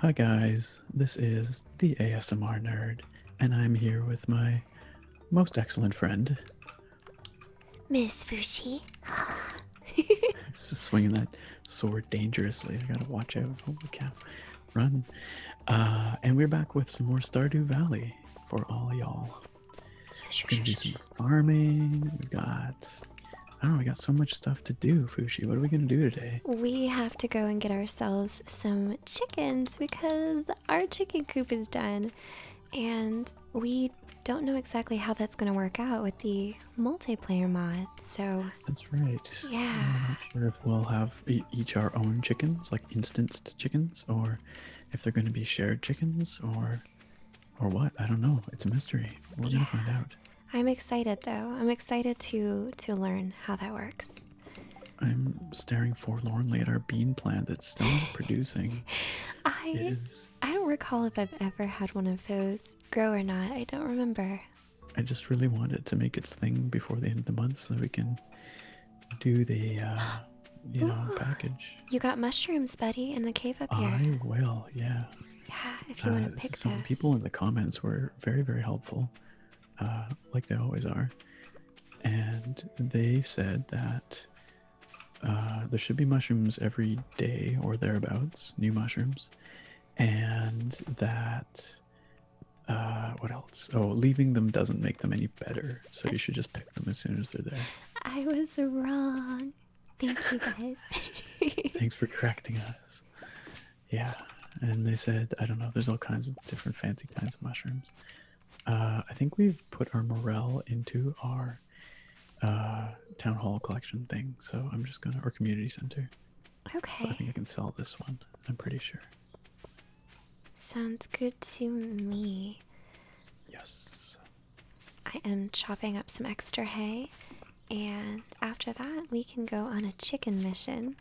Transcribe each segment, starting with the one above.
Hi guys, this is the ASMR Nerd, and I'm here with my most excellent friend, Miss Fushi. Just swinging that sword dangerously. I gotta watch out. Holy cow! run. Uh, and we're back with some more Stardew Valley for all y'all. We're Gonna do some farming. We got, oh, we got so much stuff to do. Fushi, what are we gonna do today? We have to go and get ourselves some chickens because our chicken coop is done, and we don't know exactly how that's gonna work out with the multiplayer mod. So that's right. Yeah. I'm not sure if we'll have each our own chickens, like instanced chickens, or if they're going to be shared chickens, or or what? I don't know. It's a mystery. we will find out. I'm excited though. I'm excited to to learn how that works. I'm staring forlornly at our bean plant that's still producing. I I don't recall if I've ever had one of those grow or not. I don't remember. I just really wanted to make its thing before the end of the month so we can do the uh, you know package. You got mushrooms, buddy, in the cave up here. I will, yeah. Yeah, if you uh, want to pick some people in the comments were very very helpful, uh, like they always are, and they said that there should be mushrooms every day or thereabouts, new mushrooms, and that uh, what else? Oh, leaving them doesn't make them any better, so you should just pick them as soon as they're there. I was wrong. Thank you guys. Thanks for correcting us. Yeah, and they said, I don't know, there's all kinds of different fancy kinds of mushrooms. Uh, I think we've put our morel into our uh, town hall collection thing, so I'm just gonna, our community center. Okay. So I think I can sell this one, I'm pretty sure. Sounds good to me. Yes. I am chopping up some extra hay, and after that, we can go on a chicken mission.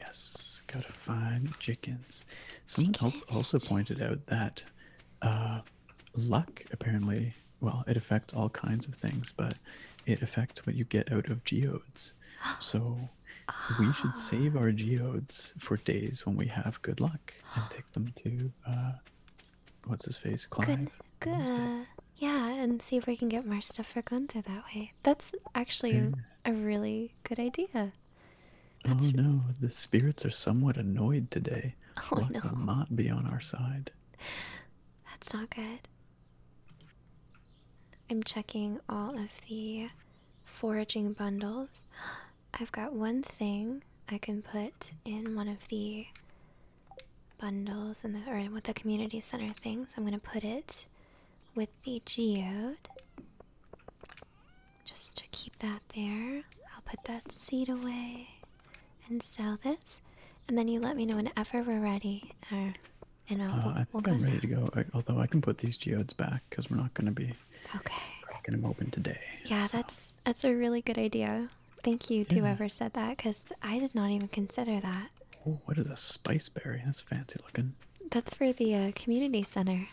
Yes, go to find chickens. Someone else also pointed out that uh, luck apparently, well, it affects all kinds of things, but it affects what you get out of geodes. So we should save our geodes for days when we have good luck and take them to uh what's his face Clive. yeah and see if we can get more stuff for gunther that way that's actually a really good idea oh, that's oh no the spirits are somewhat annoyed today oh no will not be on our side that's not good i'm checking all of the foraging bundles. I've got one thing I can put in one of the bundles and the or with the community center things. I'm gonna put it with the geode. Just to keep that there. I'll put that seed away and sell this. And then you let me know whenever we're ready. Uh, and I'll, uh, we'll, go I'm ready to go. although I can put these geodes back because we're not going to be Okay. Cracking them open today. Yeah, that's that's a really good idea. Thank you to whoever said that, because I did not even consider that. what is a spice berry? That's fancy looking. That's for the uh, community center.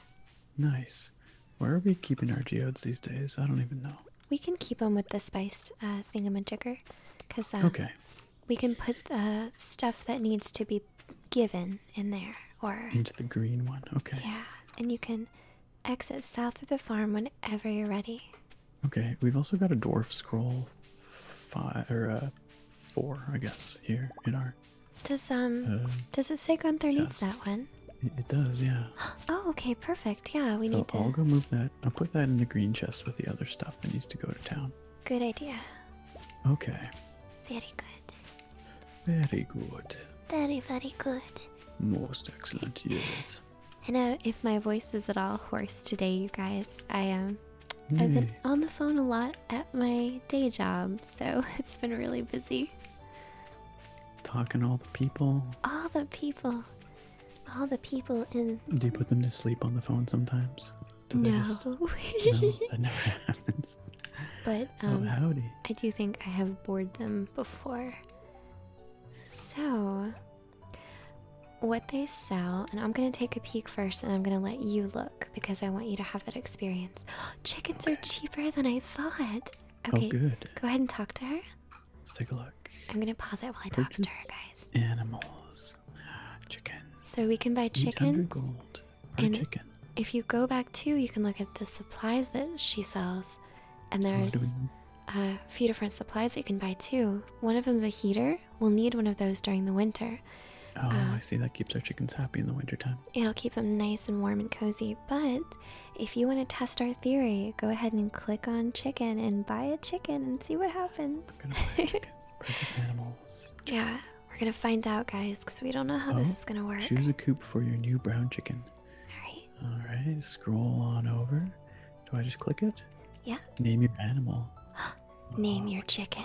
Nice. Where are we keeping our geodes these days? I don't even know. We can keep them with the spice uh, thingamajigger, because uh, okay. we can put the uh, stuff that needs to be given in there or into the green one. Okay. Yeah, and you can exit south of the farm whenever you're ready. Okay, we've also got a dwarf scroll five or uh, four, I guess, here in our. Does um uh, does it say Gunther yes. needs that one? It, does, yeah. Oh, okay, perfect. Yeah, we need to. I'll go move that. I'll put that in the green chest with the other stuff that needs to go to town. Good idea. Okay. Very good. Very good. Very, very good. Most excellent, yes. I know if my voice is at all hoarse today, you guys. I Um, I've been hmm. on the phone a lot at my day job, so it's been really busy. Talking to all the people. All the people. All the people in. Do you put them to sleep on the phone sometimes? no. That never happens but oh, um, I do think I have bored them before. So, what they sell, and I'm gonna take a peek first, and I'm gonna let you look because I want you to have that experience. Chickens are cheaper than I thought. Oh, okay, oh, good. go ahead and talk to her. Let's take a look. I'm gonna pause it while I talk to her, guys. Animals, chickens. So we can buy chickens. Gold. If you go back too, you can look at the supplies that she sells, and oh, there's a few different supplies that you can buy too. One of them's a heater. We'll need one of those during the winter. Oh, I um, see. That keeps our chickens happy in the wintertime. It'll keep them nice and warm and cozy. But if you want to test our theory, go ahead and click on chicken and buy a chicken and see what happens. gonna buy chicken. Practice animals. Yeah, we're gonna find out, guys, because we don't know how this oh, is gonna work. Choose a coop for your new brown chicken. All right. All right. Scroll on over. Do I just click it? Yeah. Name your animal. Name oh your chicken.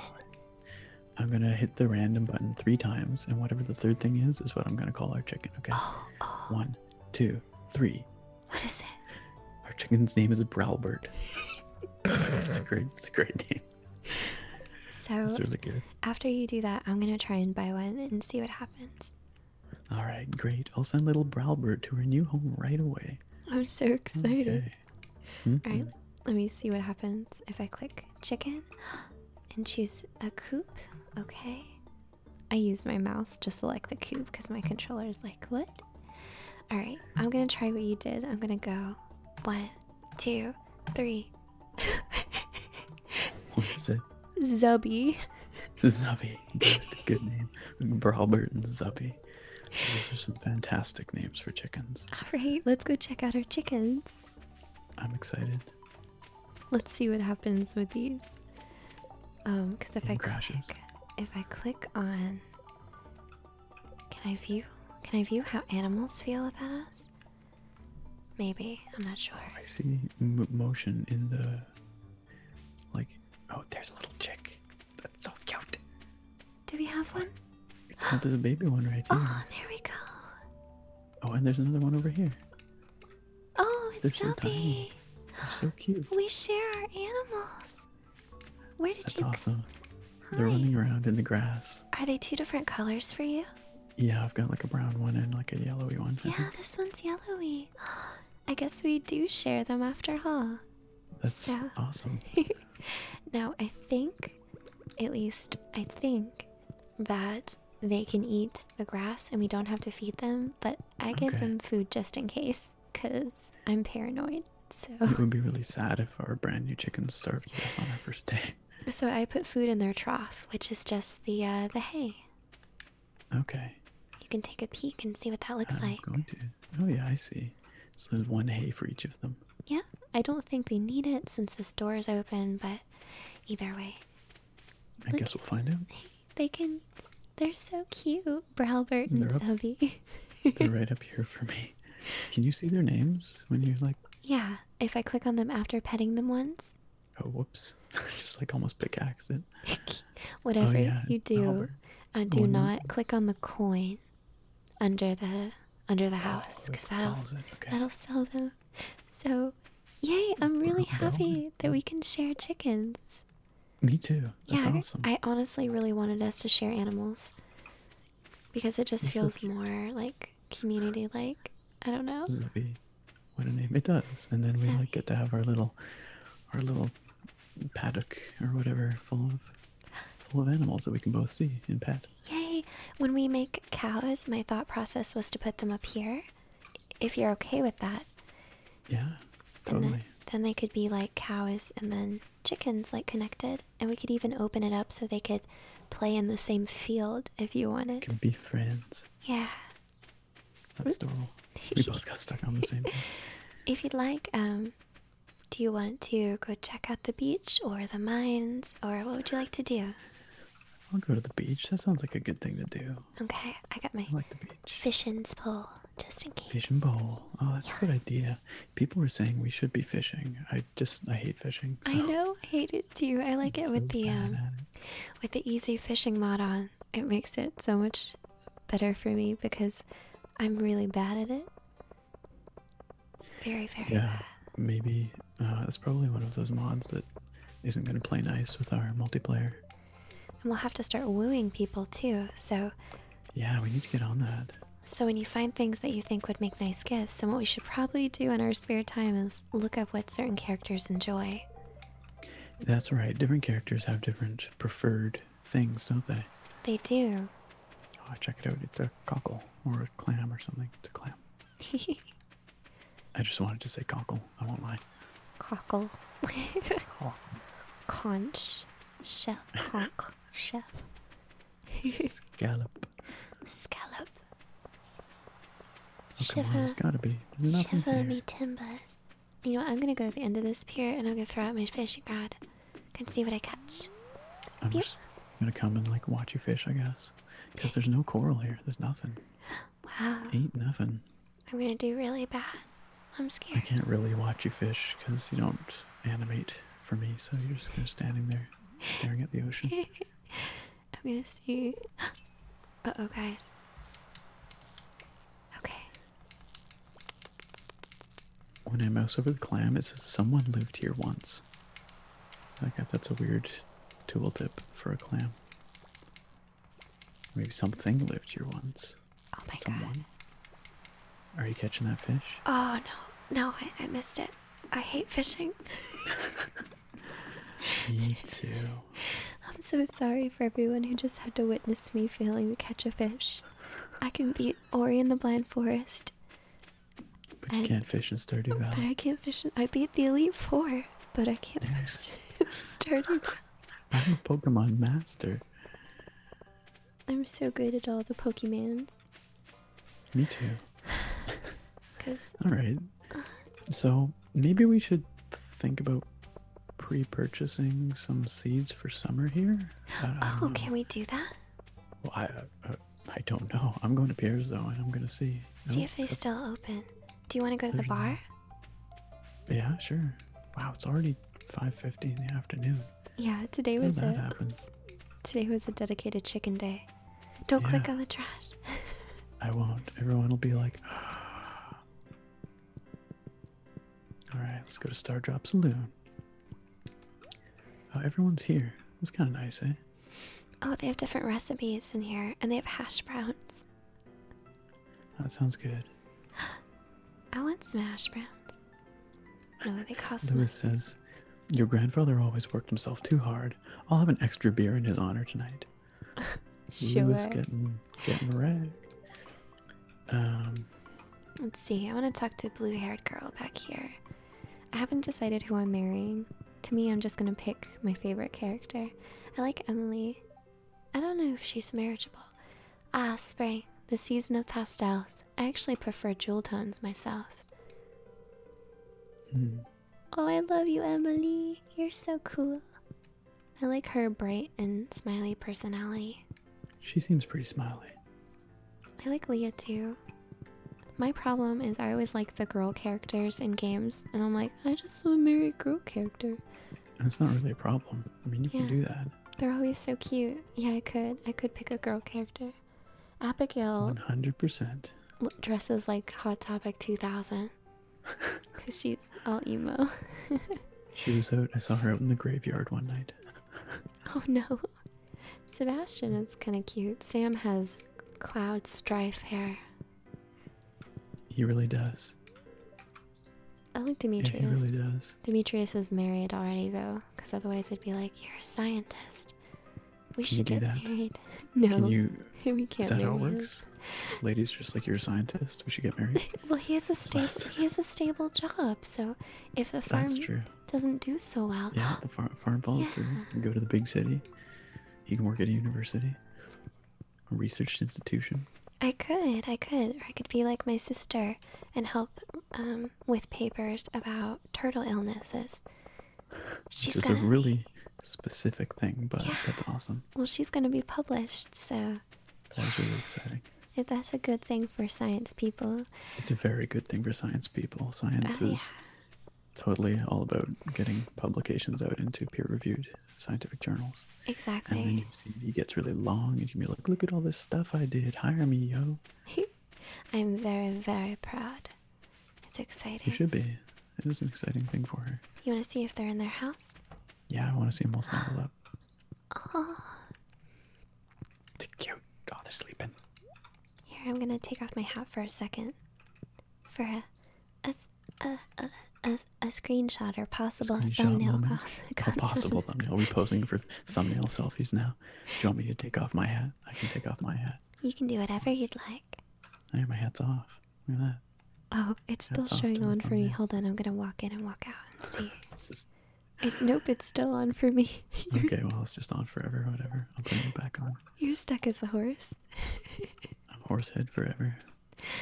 I'm gonna hit the random button three times, and whatever the third thing is, is what I'm gonna call our chicken. Okay. Oh, oh. One, two, three. What is it? Our chicken's name is Browlbert. it's a great, it's a great name so After you do that, I'm gonna try and buy one and see what happens. All right, great. I'll send little Browbert to her new home right away. I'm so excited. Mm-hmm. All right, let me see what happens if I click chicken and choose a coop. Okay. I use my mouse to select the coop because my controller's like, what? All right, I'm gonna try what you did. I'm gonna go one, two, three, what is it? Zubby. It's Zubby. Good, name. Brawlbert and Zubby. Those are some fantastic names for chickens. Alright, let's go check out our chickens. I'm excited. Let's see what happens with these. Um, because if I click if I click on Can I view? Can I view how animals feel about us? Maybe I'm not sure. I see motion in the like. Oh, there's a little chick. That's so cute. Do we have one? It's not a baby one right here. Oh, there we go. Oh, and there's another one over here. Oh, it's so tiny. so cute. We share our animals. Where did That's you? That's awesome. Hi. They're running around in the grass. Are they two different colors for you? Yeah, I've got like a brown one and like a yellowy one. Yeah, this one's yellowy. I guess we do share them after all. That's so. awesome. now, I think, at least I think, that they can eat the grass and we don't have to feed them, but I give them food just in case because I'm paranoid. So. It would be really sad if our brand new chickens starved on our first day so I put food in their trough, which is just the uh, the hay. Okay. You can take a peek and see what that looks like. I'm going to. Oh yeah, I see. So there's one hay for each of them. Yeah, I don't think they need it since this door is open, but either way. I guess we'll find out. They can. They're so cute, Browbert and they're they're right up here for me. Can you see their names when you are like? Yeah, if I click on them after petting them once. Oh, whoops. Just like almost pickaxed it. Whatever oh, you do, uh, do not click on the coin under the under the oh, house because that'll that'll sell them. So, yay! I'm really happy that we can share chickens. Me too. That's yeah, I honestly really wanted us to share animals because it just feels more like community like. I don't know. what a name it does, and then we like get to have our little, our little paddock or whatever full of, full of animals that we can both see and pet. Yay! When we make cows, my thought process was to put them up here, if you're okay with that. Yeah, totally. Then, then they could be like cows and then chickens, like connected, and we could even open it up so they could play in the same field if you wanted. Can be friends. Yeah. That's Oops. We both got stuck on the same thing. If you'd like, um, do you want to go check out the beach or the mines or what would you like to do? I'll go to the beach. That sounds like a good thing to do. Okay, I got my fishing pole just in case. Fishing pole. Oh, that's a good idea. People were saying we should be fishing. I just I hate fishing. I know, I hate it too. I like it with the um with the easy fishing mod on, it makes it so much better for me because I'm really bad at it. Very, very yeah, Maybe uh, that's probably one of those mods that isn't going to play nice with our multiplayer. And we'll have to start wooing people too, so. Yeah, we need to get on that. So, when you find things that you think would make nice gifts, and what we should probably do in our spare time is look up what certain characters enjoy. That's right. Different characters have different preferred things, don't they? They do. Oh, check it out. It's a cockle or a clam or something. It's a clam. I just wanted to say cockle. I won't lie. Cockle. Conch. Shell. Conch. Shell. Scallop. Scallop. Come on, it's gotta be. There's nothing Shiver me timbers. You know what? I'm gonna go to the end of this pier and I'm gonna throw out my fishing rod. Can see what I catch. I'm just gonna come and like watch you fish, I guess. Because there's no coral here. There's nothing. Wow. Ain't nothing. I'm gonna do really bad. I'm scared. I can't really watch you fish because you don't animate for me, so you're just kind of standing there staring at the ocean. I'm gonna see. uh oh, guys. Okay. When I mouse over the clam, it says someone lived here once. I got that's a weird tooltip for a clam. Maybe something lived here once. Oh my someone. god. Are you catching that fish? Oh no, no, I missed it. I hate fishing. Me too. I'm so sorry for everyone who just had to witness me failing to catch a fish. I can beat Ori in the Blind Forest. But you can't fish in Stardew Valley. But I can't fish in. I beat the Elite Four, but I can't fish in Stardew Valley. I'm a Pokemon master. I'm so good at all the Pokemans. Me too. Cause all right. Uh-huh. So maybe we should think about pre-purchasing some seeds for summer here. oh, can we do that? I, uh, I don't know. I'm going to Pierre's though, and I'm gonna see. See oh, if it's still open. Do you want to go to the bar? Yeah, sure. Wow, it's already 5:50 in the afternoon. Yeah, today was a, Today was a dedicated chicken day. Don't click on the trash. I won't. Everyone will be like, all right, let's go to Star Drop Saloon. Oh, everyone's here. That's kind of nice, eh? Oh, they have different recipes in here, and they have hash browns. That sounds good. I want some hash browns. No, they cost. Lewis says, "Your grandfather always worked himself too hard. I'll have an extra beer in his honor tonight." sure. was getting, getting wrecked. Um, Let's see. I want to talk to blue-haired girl back here. I haven't decided who I'm marrying. To me, I'm just gonna pick my favorite character. I like Emily. I don't know if she's marriageable. Ah, spring, the season of pastels. I actually prefer jewel tones myself. Hmm. Oh, I love you, Emily. You're so cool. I like her bright and smiley personality. She seems pretty smiley. I like Leah too. My problem is I always like the girl characters in games, and I'm like, I just want a Mary a girl character. And it's not really a problem. I mean, you can do that. They're always so cute. Yeah, I could. I could pick a girl character. Abigail. 100%. Dresses like Hot Topic 2000. Cause she's all emo. she was out. I saw her out in the graveyard one night. oh no, Sebastian is kind of cute. Sam has cloud strife hair. He really does. I like Demetrius. Demetrius is married already though, because otherwise I'd be like, "You're a scientist. We should get married." no. we can Is that how it works? Ladies, just like you're a scientist, we should get married. well, he has a stable. he has a stable job, so if the farm doesn't do so well, yeah, the far farm falls through. You go to the big city. You can work at a university, a research institution. I could, I could, or I could be like my sister and help um, with papers about turtle illnesses. She's Which is a really specific thing, but that's awesome. Well, she's going to be published, so. That really exciting. That's a good thing for science people. It's a very good thing for science people. Science oh, is totally all about getting publications out into peer reviewed scientific journals. Exactly. And then you see he gets really long and you can be like, look at all this stuff I did. Hire me, yo. I'm very, very proud. It's exciting. You should be it is an exciting thing for her. You want to see if they're in their house? Yeah, I want to see them all snuggled up. Oh. They're cute. Oh, they're sleeping. Here, I'm gonna take off my hat for a second, for a a a a, a, screenshot or possible thumbnail. Cons oh, possible thumbnail. We're posing for thumbnail selfies now. Do you want me to take off my hat? I can take off my hat. You can do whatever you'd like. Hey, my hat's off. Oh, it's still showing on for me. Hold on, I'm gonna walk in and walk out and see. nope, it's still on for me. okay, well it's just on forever, whatever. I'll bring it back on. You're stuck as a horse. I'm horsehead forever.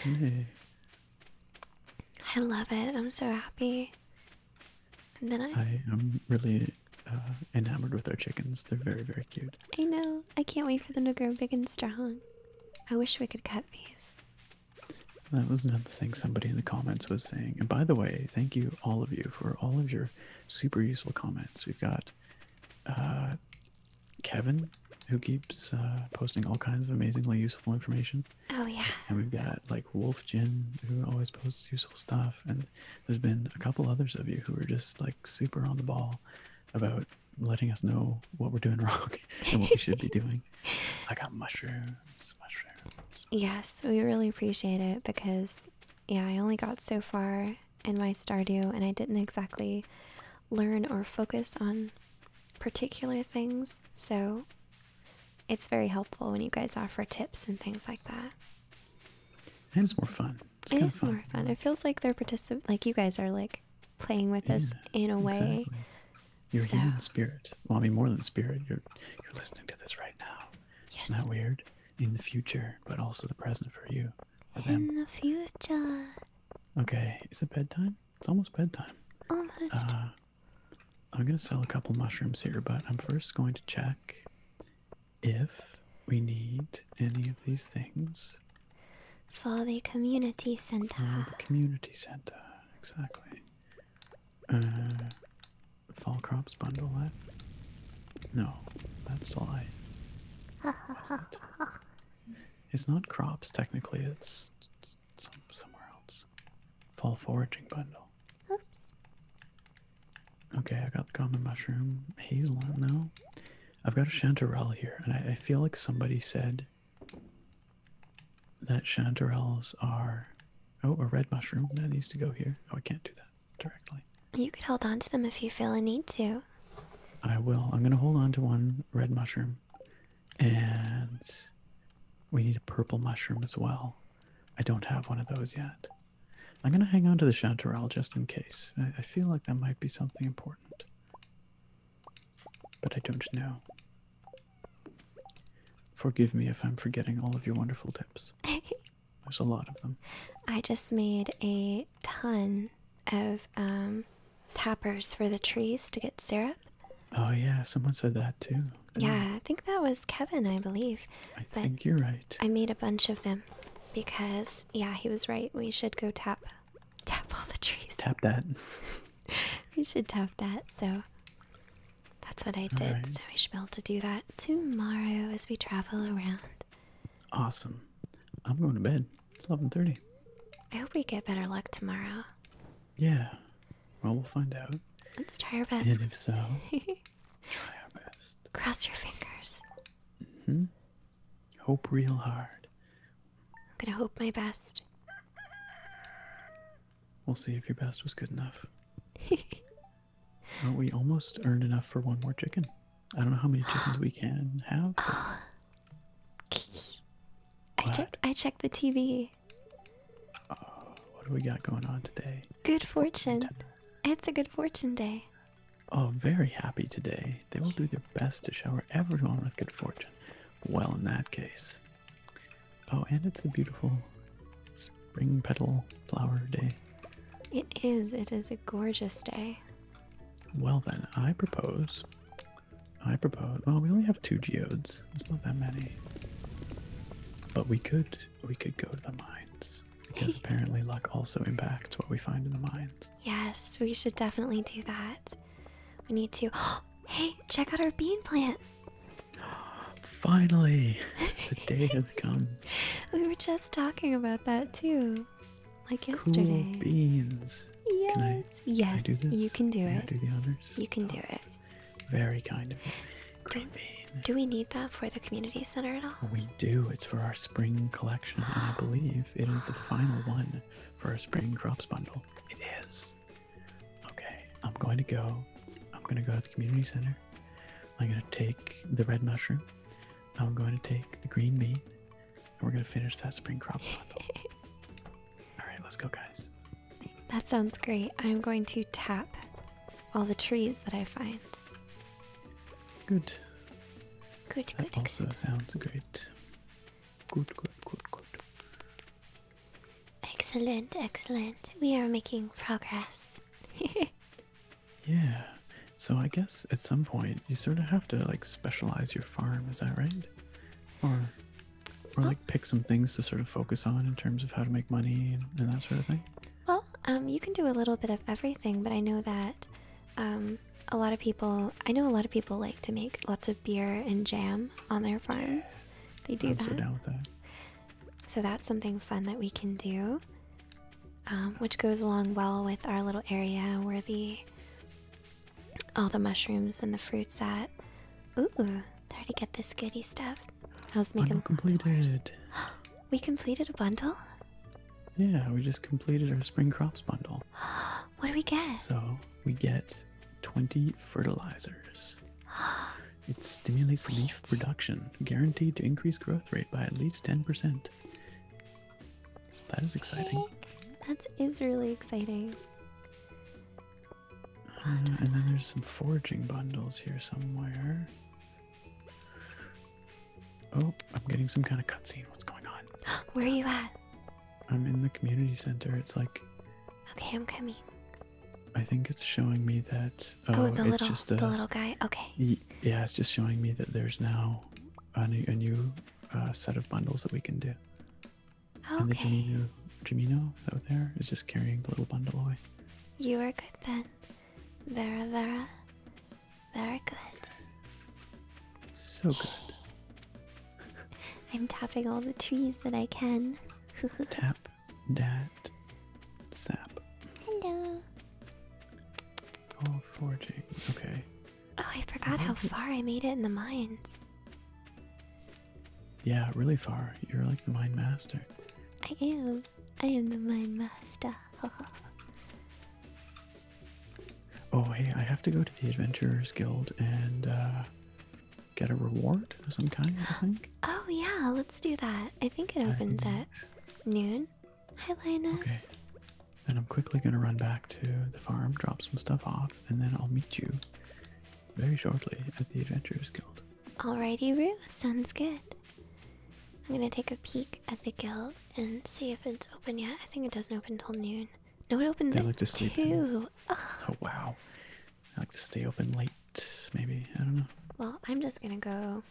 I love it. I'm so happy. And then I, I am really uh, enamored with our chickens. They're very, very cute. I know. I can't wait for them to grow big and strong. I wish we could cut these. That was another thing somebody in the comments was saying. And by the way, thank you all of you for all of your super useful comments. We've got uh, Kevin, who keeps uh, posting all kinds of amazingly useful information. Oh yeah. And we've got like Wolf Jin, who always posts useful stuff. And there's been a couple others of you who are just like super on the ball about letting us know what we're doing wrong and what we should be doing. I got mushrooms, mushrooms. Yes, we really appreciate it because, yeah, I only got so far in my Stardew and I didn't exactly learn or focus on particular things. So it's very helpful when you guys offer tips and things like that. And it's more fun. It's more fun. It feels like they're particip like you guys are like playing with us in a way. Exactly. You're so. human spirit. Well, I more than spirit. You're you're listening to this right now. Yes. Isn't that weird? In the future, but also the present for you. For them. In the future. Okay, is it bedtime? It's almost bedtime. Almost. Uh, I'm gonna sell a couple mushrooms here, but I'm first going to check if we need any of these things for the community center. the community center, exactly. Uh, fall crops bundle that? No, that's lie. it's not crops technically. It's somewhere else. Fall foraging bundle. Okay, I got the common mushroom, hazelnut now. I've got a chanterelle here, and I feel like somebody said that chanterelles are oh a red mushroom that needs to go here oh i can't do that directly you could hold on to them if you feel a need to i will i'm going to hold on to one red mushroom and we need a purple mushroom as well i don't have one of those yet i'm going to hang on to the chanterelle just in case I feel like that might be something important but I don't know. Forgive me if I'm forgetting all of your wonderful tips. There's a lot of them. I just made a ton of um, toppers for the trees to get syrup. Oh, yeah, someone said that too. Yeah, I think that was Kevin, I believe. I think you're right. I made a bunch of them because, yeah, he was right. We should go tap Tap all the trees. Tap that. We should tap that. So that's what I did. So we should be able to do that tomorrow as we travel around. Awesome. I'm going to bed. It's 11:30. I hope we get better luck tomorrow. Yeah. Well, we'll find out. Let's try our best. And if so, try our best. Cross your fingers. hmm Hope real hard. I'm gonna hope my best. We'll see if your best was good enough. well, we almost earned enough for one more chicken. I don't know how many chickens we can have. I checked. I checked the TV. Oh, what do we got going on today? Good fortune. It's a good fortune day. Oh, very happy today. They will do their best to shower everyone with good fortune. Well, in that case. Oh, and it's a beautiful spring petal flower day. It is. It is a gorgeous day. Well, then, I propose. I propose. Oh, we only have two geodes. It's not that many. But we could we could go to the mines because apparently luck also impacts what we find in the mines. Yes, we should definitely do that. We need to hey, check out our bean plant. Finally, the day has come. We were just talking about that too, like yesterday. Cool beans. Yes, yes, you can do it. do the honors. You can do it. Very kind of you. Green do, bean. Do we need that for the community center at all? We do. It's for our spring collection, and I believe it is the final one for our spring crops bundle. It is. Okay, I'm going to go. I'm going to go to the community center. I'm going to take the red mushroom. I'm going to take the green bean. And we're going to finish that spring crop Alright, let's go, guys. That sounds great. I'm going to tap all the trees that I find. Good. Good, that good, also good. sounds great. Good, good, good, good. Excellent, excellent. We are making progress. yeah. So I guess at some point you sort of have to like specialize your farm, is that right? Or or like pick some things to sort of focus on in terms of how to make money and, and that sort of thing. Well, um, you can do a little bit of everything, but I know that um, a lot of people, I know a lot of people like to make lots of beer and jam on their farms. They do that. So, that's something fun that we can do, um, which goes along well with our little area where the all the mushrooms and the fruits at. Ooh, there to get this goody stuff. I was making bundle completed. we completed a bundle. Yeah, we just completed our spring crops bundle. what do we get? So we get 20 fertilizers. it stimulates leaf production, guaranteed to increase growth rate by at least 10%. That is exciting. That is really exciting. Hmm, and then there's some foraging bundles here somewhere. Oh, I'm getting some kind of cutscene. What's going on? Where are you at? I'm in the community center. It's like. Okay, I'm coming. I think it's showing me that. Oh, oh the it's little, just a, the little guy. Okay. Yeah, it's just showing me that there's now a new, uh, set of bundles that we can do. Okay. And the Jimino, Jimino over there is just carrying the little bundle away. You are good then. Vera, Vera. Very good. So good. I'm tapping all the trees that I can. Tap that sap. Hello. Oh, forging. Okay. Oh, I forgot how far I made it in the mines. Yeah, really far. You're like the mine master. I am. I am the mine master. oh, hey, I have to go to the Adventurers Guild and uh, get a reward of some kind, I think. Oh yeah, let's do that. I think it opens at noon. Hi Linus. Okay. Then I'm quickly gonna run back to the farm, drop some stuff off, and then I'll meet you very shortly at the Adventurers Guild. Alrighty Roo, sounds good. I'm gonna take a peek at the guild and see if it's open yet. I think it doesn't open until noon. No, it opens they at like to sleep oh wow. I like to stay open late, maybe. I don't know. Well, I'm just gonna go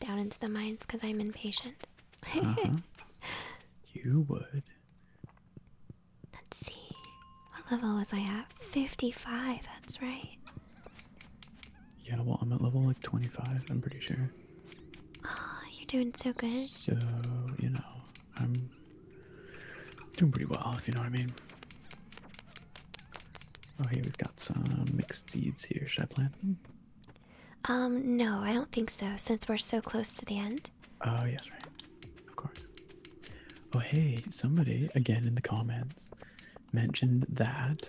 down into the mines because I'm impatient. uh -huh. You would. Let's see. What level was I at? 55, that's right. Yeah, well, I'm at level like 25, I'm pretty sure. Oh, you're doing so good. So, you know, I'm doing pretty well, if you know what I mean. Oh, here we've got some mixed seeds here. Should I plant them? Um, no, I don't think so, since we're so close to the end. Oh, yes, right. Of course. Oh, hey, somebody, again in the comments, mentioned that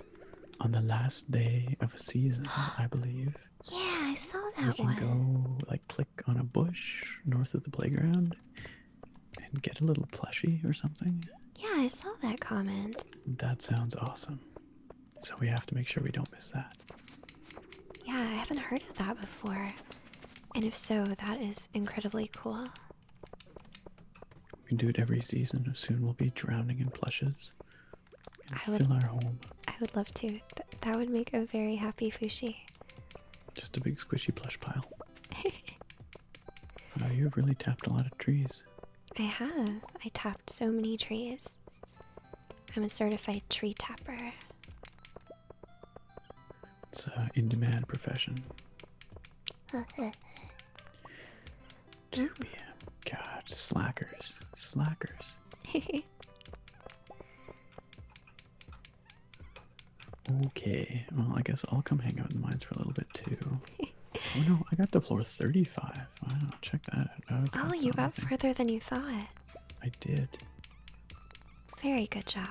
on the last day of a season, I believe. Yeah, I saw that we can one. go, like, click on a bush north of the playground and get a little plushie or something? Yeah, I saw that comment. That sounds awesome. So we have to make sure we don't miss that. Yeah, I haven't heard of that before. And if so, that is incredibly cool. We can do it every season. Soon we'll be drowning in plushes. I would, our home. I would love to. that would make a very happy Fushi. Just a big squishy plush pile. wow, you've really tapped a lot of trees. I have. I tapped so many trees. I'm a certified tree tapper. It's an uh, in demand profession. 2 p.m. God, slackers. Slackers. Okay, well, I guess I'll come hang out in the mines for a little bit too. oh no, I got to floor 35. i I'll check that oh, oh, you got further than you thought. I did. Very good job.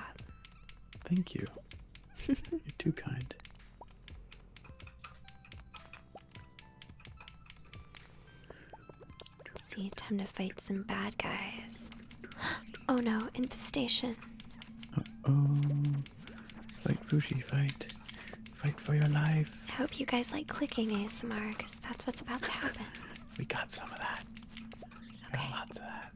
Thank you. You're too kind. See, time to fight some bad guys. Oh no, infestation. Uh oh. Fight, Fushi, fight. Fight for your life. I hope you guys like clicking ASMR because that's what's about to happen. we got some of that. Okay. lots of that.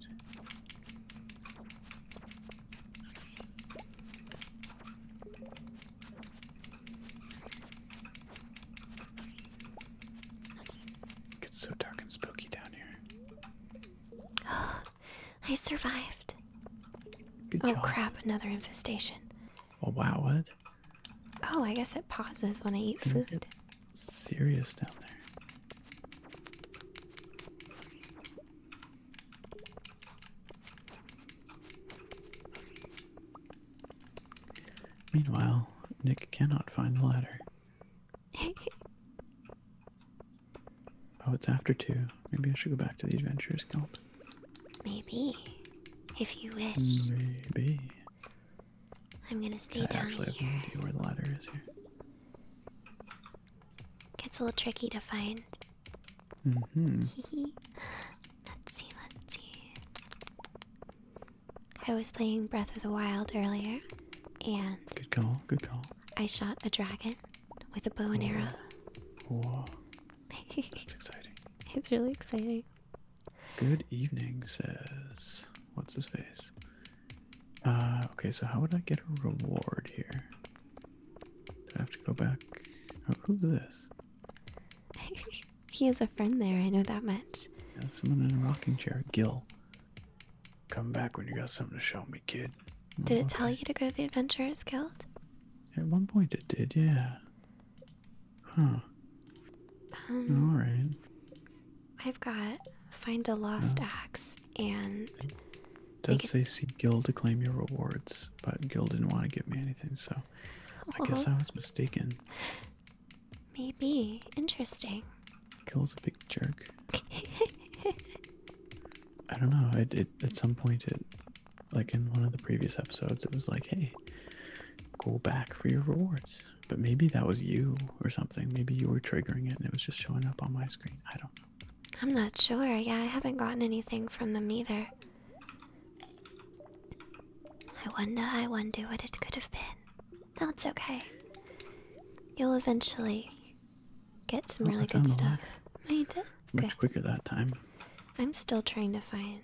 It so dark and spooky down here. I survived. oh crap, another infestation. Oh wow, what? Oh, I guess it pauses when I eat food. Serious down there. Meanwhile, Nick cannot find the ladder. oh, it's after two. Maybe I should go back to the Adventurers Guild. Maybe. If you wish. Maybe. I'm gonna stay I down actually here. I have no idea where the ladder is here. Gets a little tricky to find. Mm-hmm. let's see, let's see. I was playing Breath of the Wild earlier. And good call, good call. I shot a dragon with a bow and arrow. Whoa. It's exciting. It's really exciting. Good evening, says. What's his face? Uh, okay, so how would I get a reward here? I have to go back? Oh, who's this? he has a friend there, I know that much. someone in a rocking chair. Gil. Come back when you got something to show me, kid. Did it tell you to go to the Adventurers Guild? At one point it did, yeah. Huh. Um, Alright. I've got find a lost axe and. It does say see Gil to claim your rewards, but Gil didn't want to give me anything, so. I guess oh. I was mistaken. Maybe. Interesting. Kill's a big jerk. I don't know. It, it at some point it like in one of the previous episodes it was like, hey, go back for your rewards. But maybe that was you or something. Maybe you were triggering it and it was just showing up on my screen. I don't know. I'm not sure. Yeah, I haven't gotten anything from them either. I wonder, I wonder what it could have been. That's okay. You'll eventually get some oh, really good stuff. No, did. Much quicker that time. I'm still trying to find.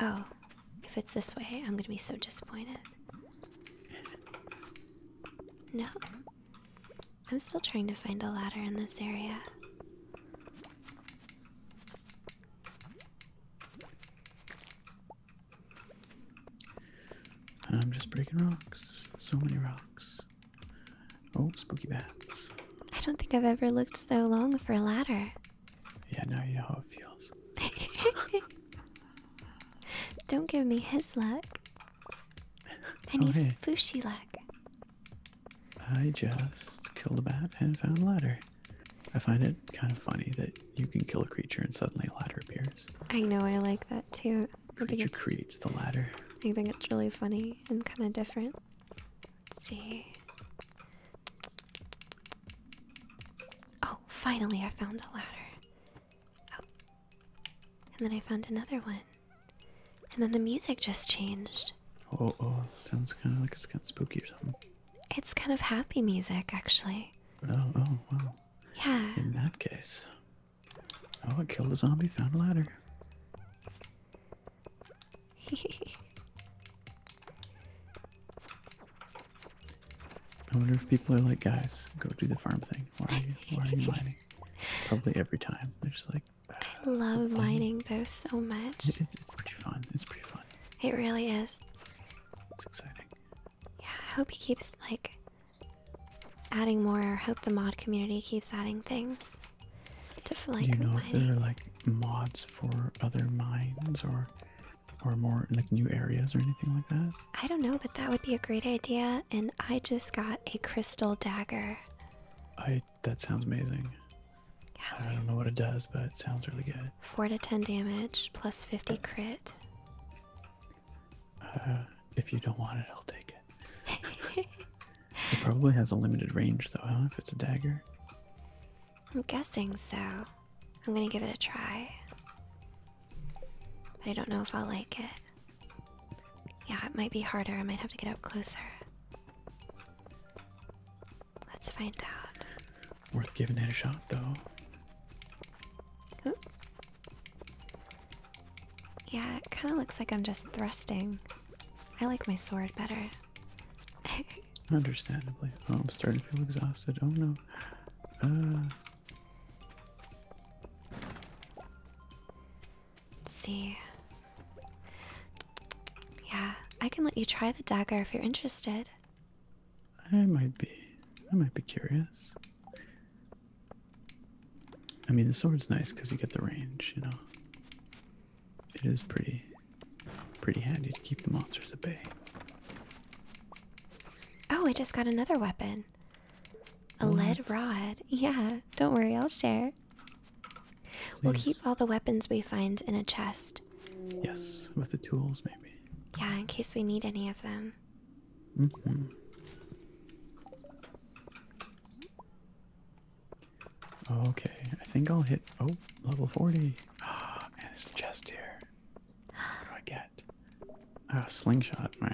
Oh, if it's this way, I'm gonna be so disappointed. No. I'm still trying to find a ladder in this area. I'm just breaking rocks. So many rocks. Oh, spooky bats. I don't think I've ever looked so long for a ladder. Yeah, now you know how it feels. don't give me his luck. I oh, need oh, luck. I just killed a bat and found a ladder. I find it kind of funny that you can kill a creature and suddenly a ladder appears. I know, I like that that too. I think it creates the ladder. I think it's really funny and kind of different. Let's see. Oh, finally I found a ladder. Oh. And then I found another one. And then the music just changed. Oh, oh, sounds kind of like it's kind of spooky or something. It's kind of happy music, actually. Oh, oh, wow. Yeah. In that case. Oh, I killed a zombie, found a ladder. I wonder if people are like, guys, go do the farm thing. Why are you, mining? Probably every time. They're just like, I love mining though so much. it's, it's pretty fun. It's pretty fun. It really is. It's exciting. Yeah, I hope he keeps like adding more. I Hope the mod community keeps adding things to like Do you know if there are like mods for other mines or or more like new areas or anything like that? I don't know, but that would be a great idea. And I just got a crystal dagger. I that sounds amazing. I don't know what it does, but it sounds really good. Four to ten damage plus fifty crit. Uh, if you don't want it, I'll take it. it probably has a limited range, though. I don't know if it's a dagger. I'm guessing so. I'm gonna give it a try. But I don't know if I'll like it. Yeah, it might be harder. I might have to get up closer. Let's find out. Worth giving it a shot, though. Oops. Yeah, it kind of looks like I'm just thrusting. I like my sword better. Understandably. Oh, I'm starting to feel exhausted. Oh no. Uh. see. Yeah, I can let you try the dagger if you're interested. I might be. I might be curious. I mean, the sword's nice because you get the range, you know. It is pretty, pretty handy to keep the monsters at bay. Oh, I just got another weapon. A lead rod. Yeah, don't worry, I'll share. We'll keep all the weapons we find in a chest. Yes, with the tools, maybe. Yeah, in case we need any of them. Okay, I think I'll hit. Oh, level 40. Ah, oh, and there's a chest here. What do I get? Oh, slingshot. Meh.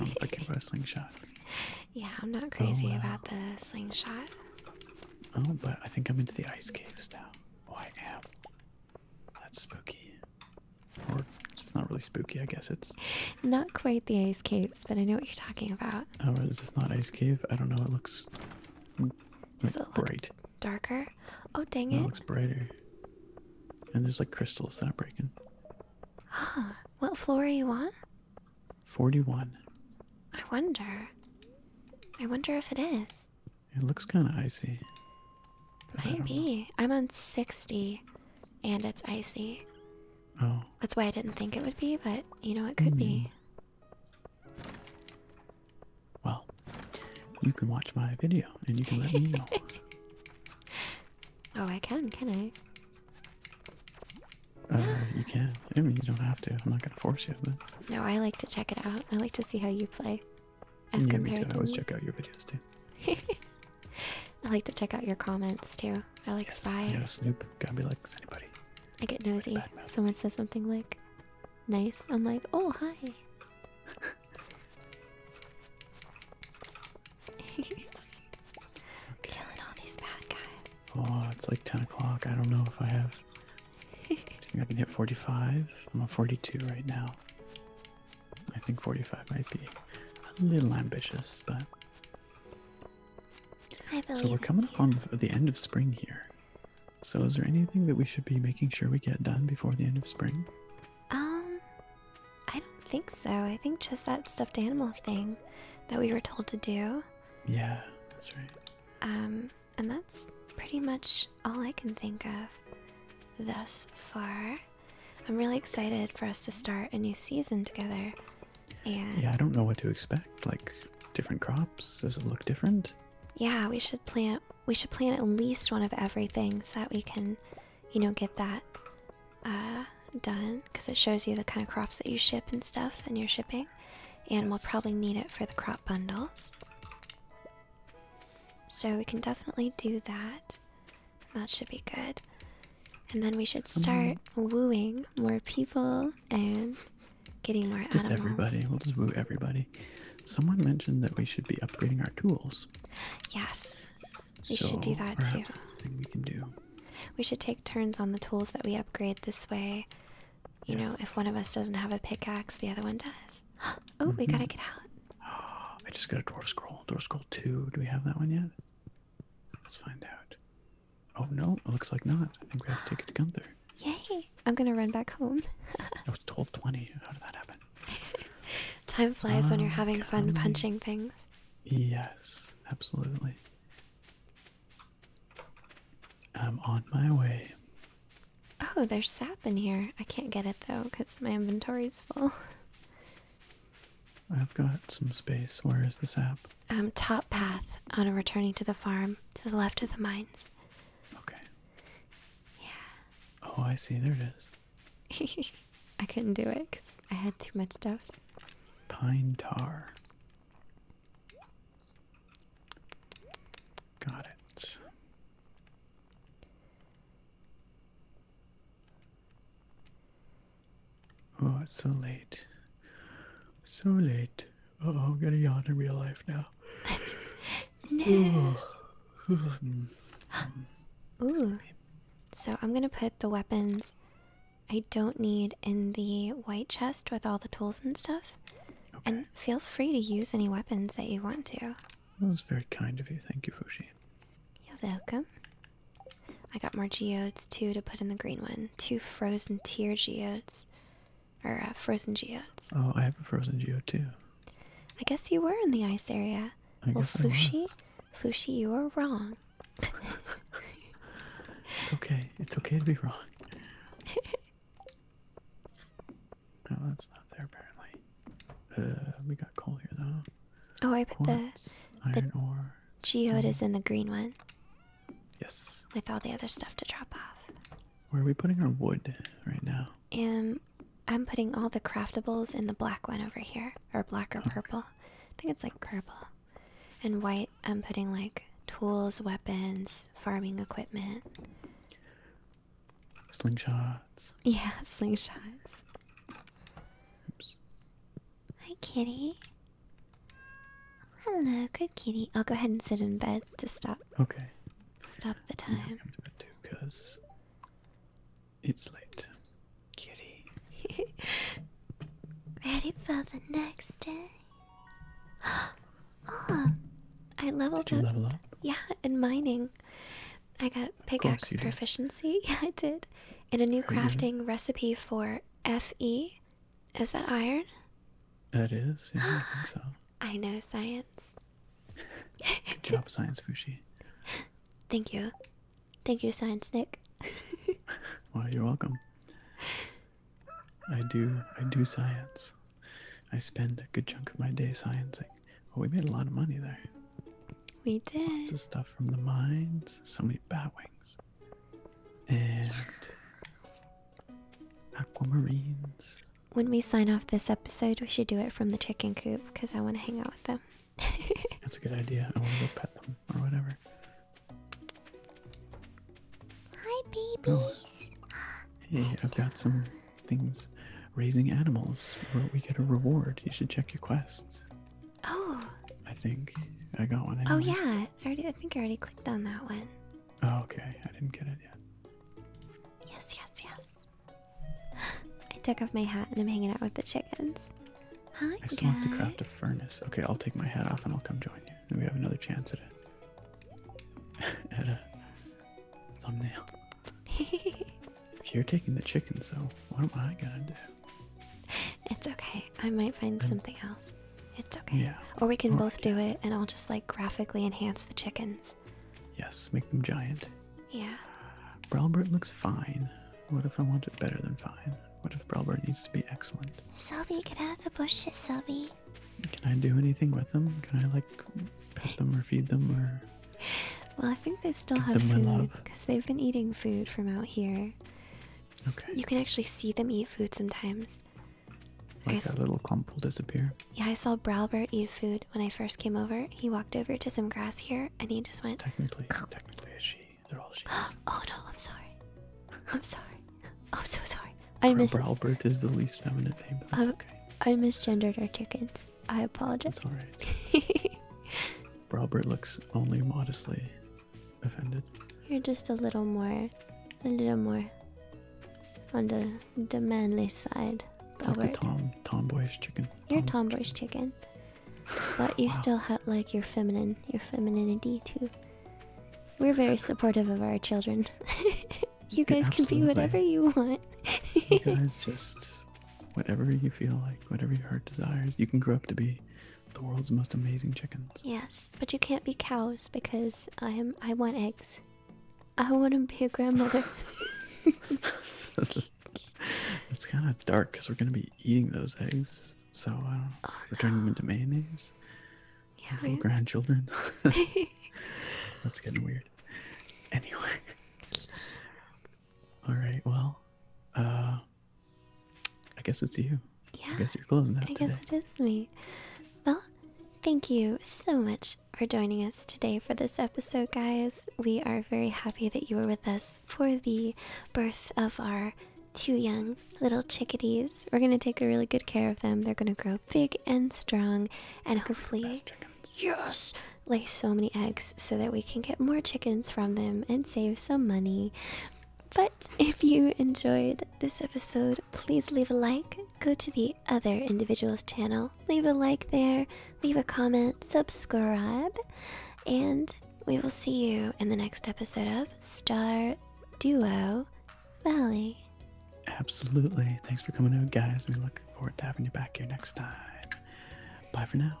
I'm fucking about a slingshot. Yeah, I'm not crazy oh, about the slingshot. Oh, but I think I'm into the ice caves now. Oh, I am. That's spooky. Or it's not really spooky, I guess it's not quite the ice caves, but I know what you're talking about. Oh, is this not ice cave? I don't know. It looks Does bright. Darker? Oh dang it. looks brighter. And there's like crystals that are breaking. Ah, what floor are you on? 41. I wonder. I wonder if it is. It looks kind of icy. Might be. I'm on 60 and it's icy. Oh. That's why I didn't think it would be, but you know it could be. Mm. Well, you can watch my video and you can let me know. oh, I can, can I? Uh, You can. I mean, you don't have to. I'm not gonna force you. No, I like to check it out. I like to see how you play. yeah, me too. I always check out your videos too. I like to check out your comments too. I like spy. You gotta snoop. Gotta be like anybody. I get nosy. Someone says something like nice. I'm like, oh hi. okay. Killing all these bad guys. Oh, it's like 10 o'clock. I don't know if I have. I think I can hit 45. I'm on 42 right now. I think 45 might be a little ambitious, but so we're coming up on the end of spring here. So is there anything that we should be making sure we get done before the end of spring? Um, I don't think so. I think just that stuffed animal thing that we were told to do. Yeah, that's right. Um, and that's pretty much all I can think of thus far. I'm really excited for us to start a new season together. Yeah. yeah, I don't know what to expect. Like different crops. Does it look different? Yeah, we should plant we should plant at least one of everything so that we can, you know, get that uh done because it shows you the kind of crops that you ship and stuff and you're shipping. And we'll probably need it for the crop bundles. So we can definitely do that. That should be good. And then we should um, start wooing more people and getting more just everybody. We'll just woo everybody. Someone mentioned that we should be upgrading our tools. Yes. We should do that too. we should take turns on the tools that we upgrade this way. You know, if one of us doesn't have a pickaxe, the other one does. oh, we mm-hmm. gotta get out. I just got a dwarf scroll. Dwarf scroll two. Do we have that one yet? Let's find out. Oh no, it looks like not. I think we have to take it to Gunther. Yay! I'm gonna run back home. it was 1220. How did that happen? Time flies when you're oh, having fun punching things. Yes, absolutely. I'm on my way. Oh, there's sap in here. I can't get it though because my inventory's full. I've got some space. Where is this app? Um, top path on a returning to the farm, to the left of the mines. Okay. Yeah. Oh, I see. There it is. I couldn't do it because I had too much stuff. Pine tar. Got it. Oh, it's so late. So late. oh, I'm gonna yawn in real life now. no. Ooh. So I'm gonna put the weapons I don't need in the white chest with all the tools and stuff. Okay. And feel free to use any weapons that you want to. That was very kind of you. Thank you, Fushi. You're welcome. I got more geodes too to put in the green one. Two frozen tier geodes. Or uh, frozen geodes. Oh, I have a frozen geode too. I guess you were in the ice area. well, Fushi, Fushi, you were wrong. it's okay. It's okay to be wrong. Oh, that's not there apparently. Uh, we got coal here though. Oh, I put Quartz, the iron ore. Geo mm-hmm. is in the green one. Yes. With all the other stuff to drop off. Where are we putting our wood right now? Um, I'm putting all the craftables in the black one over here, or black or purple. I think it's like purple. And white, I'm putting like tools, weapons, farming equipment. Slingshots. Yeah, slingshots. Hi, kitty. Hello, good kitty. I'll go ahead and sit in bed to stop. Okay. Stop the time. come to bed too, it's late. Kitty. Ready for the next day? oh, I leveled did you up. Level up. Yeah, in mining. I got pickaxe proficiency. Yeah, I did. And a new crafting recipe for FE is that iron? That is, yeah, I think so. I know science. job, Science Fushi. Thank you. Thank you, Science Nick. well, you're welcome. I do, I do science. I spend a good chunk of my day scienceing. Well, we made a lot of money there. We did. Lots of stuff from the mines. So many bat wings and aquamarines. When we sign off this episode, we should do it from the chicken coop because I want to hang out with them. That's a good idea. I want to go pet them or whatever. Hi, babies. Oh, hey, I've got some things. Raising animals, where we get a reward. You should check your quests. Oh. I think I got one. Oh yeah, I already. I think I already clicked on that one. Oh, okay, I didn't get it yet. Yes, yes, yes. I took off my hat and I'm hanging out with the chickens. Hi I still have to craft a furnace. Okay, I'll take my hat off and I'll come join you. Maybe we have another chance at it. at a thumbnail. if you're taking the chickens, so what am I gonna do? It's okay. I might find something else. It's okay. Yeah. Or we can both do it and I'll just like graphically enhance the chickens. Yes, make them giant. Yeah. Browbert looks fine. What if I want it better than fine? What if Browbert needs to be excellent? Selby, get out of the bushes, Selby. Can I do anything with them? Can I like pet them or feed them or Well, I think they still have food because they've been eating food from out here. You can actually see them eat food sometimes. Like that little clump will disappear. Yeah, I saw Browbert eat food when I first came over. He walked over to some grass here, and he just went. technically, technically, a she. They're all she. oh no! I'm sorry. I'm sorry. I'm so sorry. I miss. mis. Browbert is the least feminine name, but that's I, um, okay. I misgendered our chickens. I apologize. That's all right. Browbert looks only modestly offended. You're just a little more, a little more on the the manly side. It's Robert. tomboyish chicken. You're tom tomboyish chicken, but you still have like your feminine, your femininity too. We're very supportive of our children. you guys can be whatever you want. you guys just whatever you feel like, whatever your heart desires. You can grow up to be the world's most amazing chickens. Yes, but you can't be cows because I am. I want eggs. I want to be a grandmother. it's kind of dark because we're gonna be eating those eggs. So I don't know. Oh, we're turning them into mayonnaise. Yeah, Those grandchildren. That's getting weird. Anyway. All right. Well, uh, I guess it's you. Yeah. I guess you're closing I guess it is me. Well, thank you so much for joining us today for this episode, guys. We are very happy that you were with us for the birth of our two young little chickadees. We're gonna take a really good care of them. They're gonna grow big and strong, and hopefully, yes, lay so many eggs so that we can get more chickens from them and save some money. But if you enjoyed this episode, please leave a like, go to the other individual's channel, leave a like there, leave a comment, subscribe, and we will see you in the next episode of Star Duo Valley. Absolutely. Thanks for coming out, guys. We look forward to having you back here next time. Bye for now.